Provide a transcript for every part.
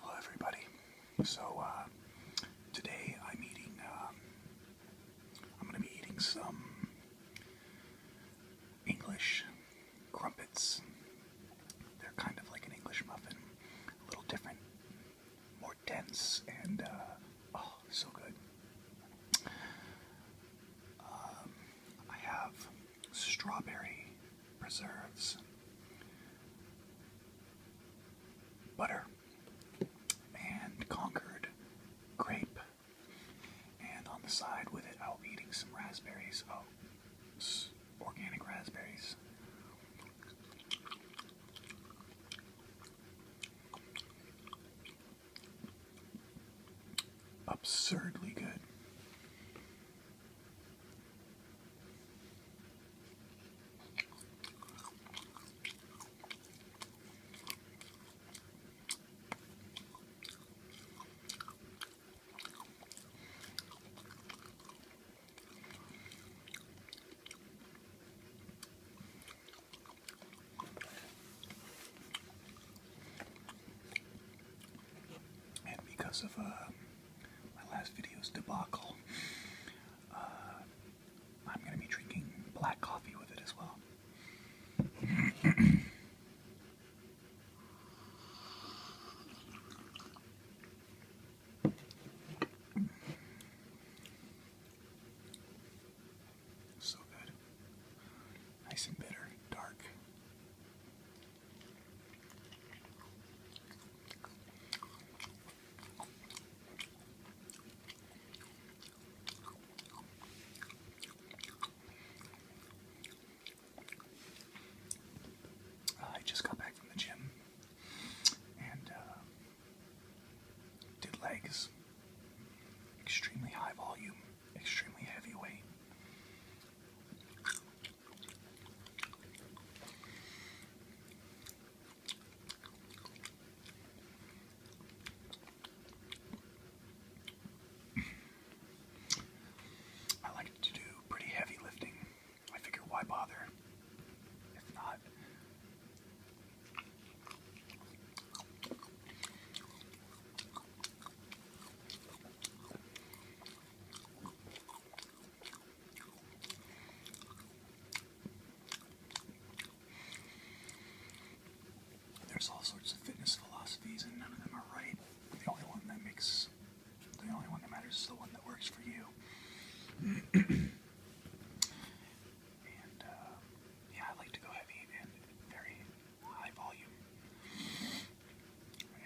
Hello, everybody. So uh, today I'm eating. Uh, I'm going to be eating some English crumpets. They're kind of like an English muffin, a little different, more dense, and uh, oh, so good. Um, I have strawberry preserves, butter, and Concord grape. And on the side with it, I'll eating some raspberries. Oh, organic raspberries. Absurdly good. And because of uh, my last video's debacle. Uh, I'm going to be drinking black coffee with it as well. so good. Nice and bitter, dark. I just got back from the gym and uh, did legs. Extremely high volume, extremely heavy weight. I like to do pretty heavy lifting. I figure why bother if not. There's all sorts of fitness philosophies, and none of them are right. The only one that makes, the only one that matters is the one that works for you. and uh, yeah, I like to go heavy and very high volume.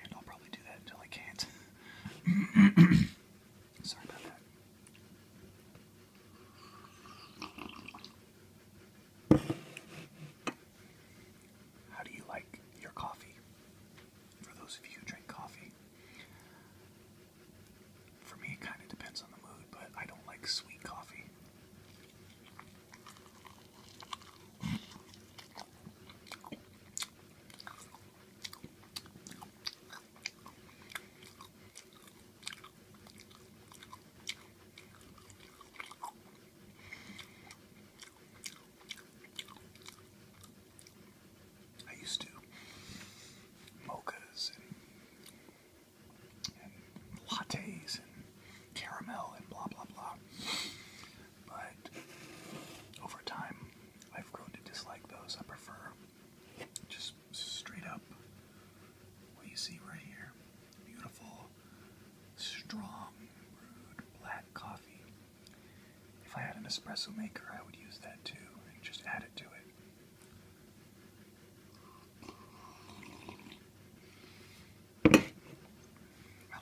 And I'll probably do that until I can't. Sorry about that. How do you like your coffee? For those of you who drink coffee, for me it kind of depends on the mood, but I don't like sweet coffee. I used to mochas and, lattes and caramel and blah blah blah but over time I've grown to dislike those. I prefer just straight up what you see right here. Beautiful, strong, black coffee. If I had an espresso maker, I would use that too just add it to it. I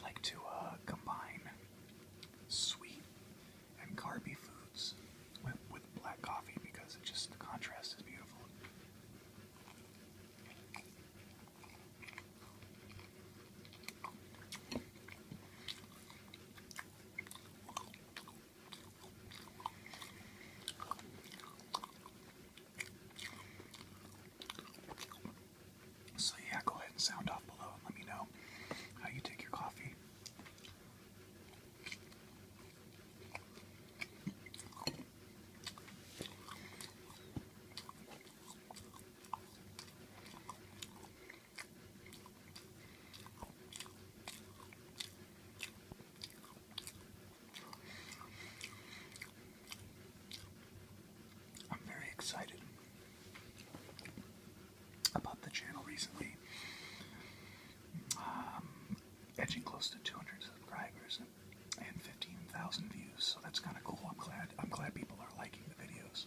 like to uh, combine sweet and carby foods with, with black coffee because it just the contrast is beautiful. So, yeah, go ahead and sound off below and let me know how you take your coffee. I'm very excited about the channel recently. Um, edging close to 200 subscribers and 15,000 views, so that's kind of cool. I'm glad. I'm glad people are liking the videos.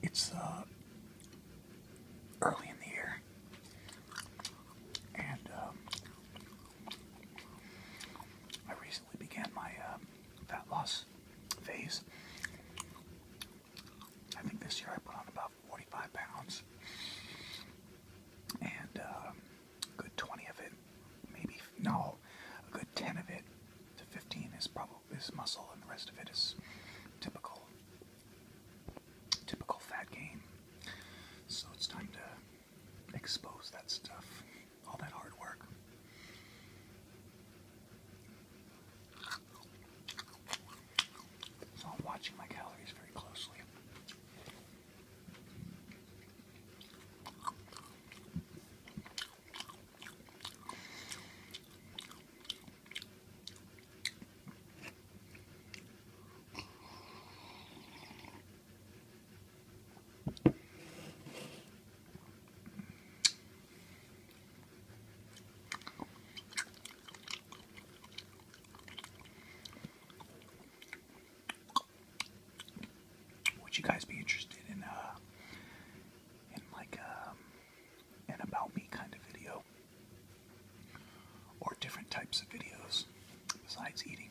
It's uh, early in the year, and um, I recently began my uh, fat loss phase. I think this year I put on about 45 pounds, and um, a good 20 of it, maybe no, a good 10 of it to 15 is probably is muscle, and the rest of it is typical, typical fat gain. So it's time to expose that stuff all that hard work. So I'm watching my calories very closely. Would you guys be interested in uh in like um about me kind of video? Or different types of videos besides eating.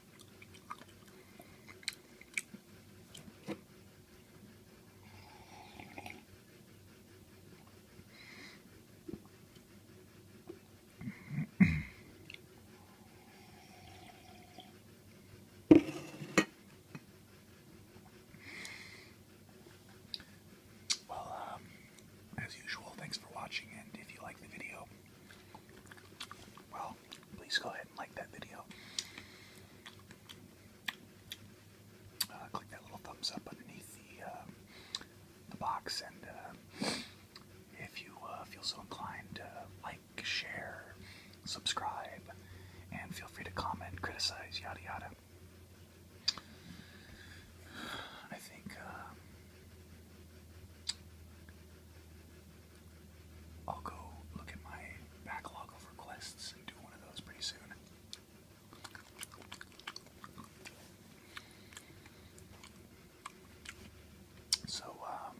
Well, um, as usual, thanks for watching, and if you like the video, well, please go ahead and like that video. Uh, click that little thumbs up underneath the, um, the box, and uh, if you uh, feel so inclined, like, share, subscribe, and feel free to comment, criticize, yada yada. I think I'll go look at my backlog of requests and do one of those pretty soon. So, um,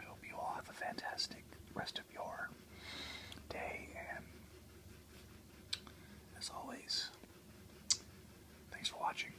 I hope you all have a fantastic rest of your day, and as always, thanks for watching.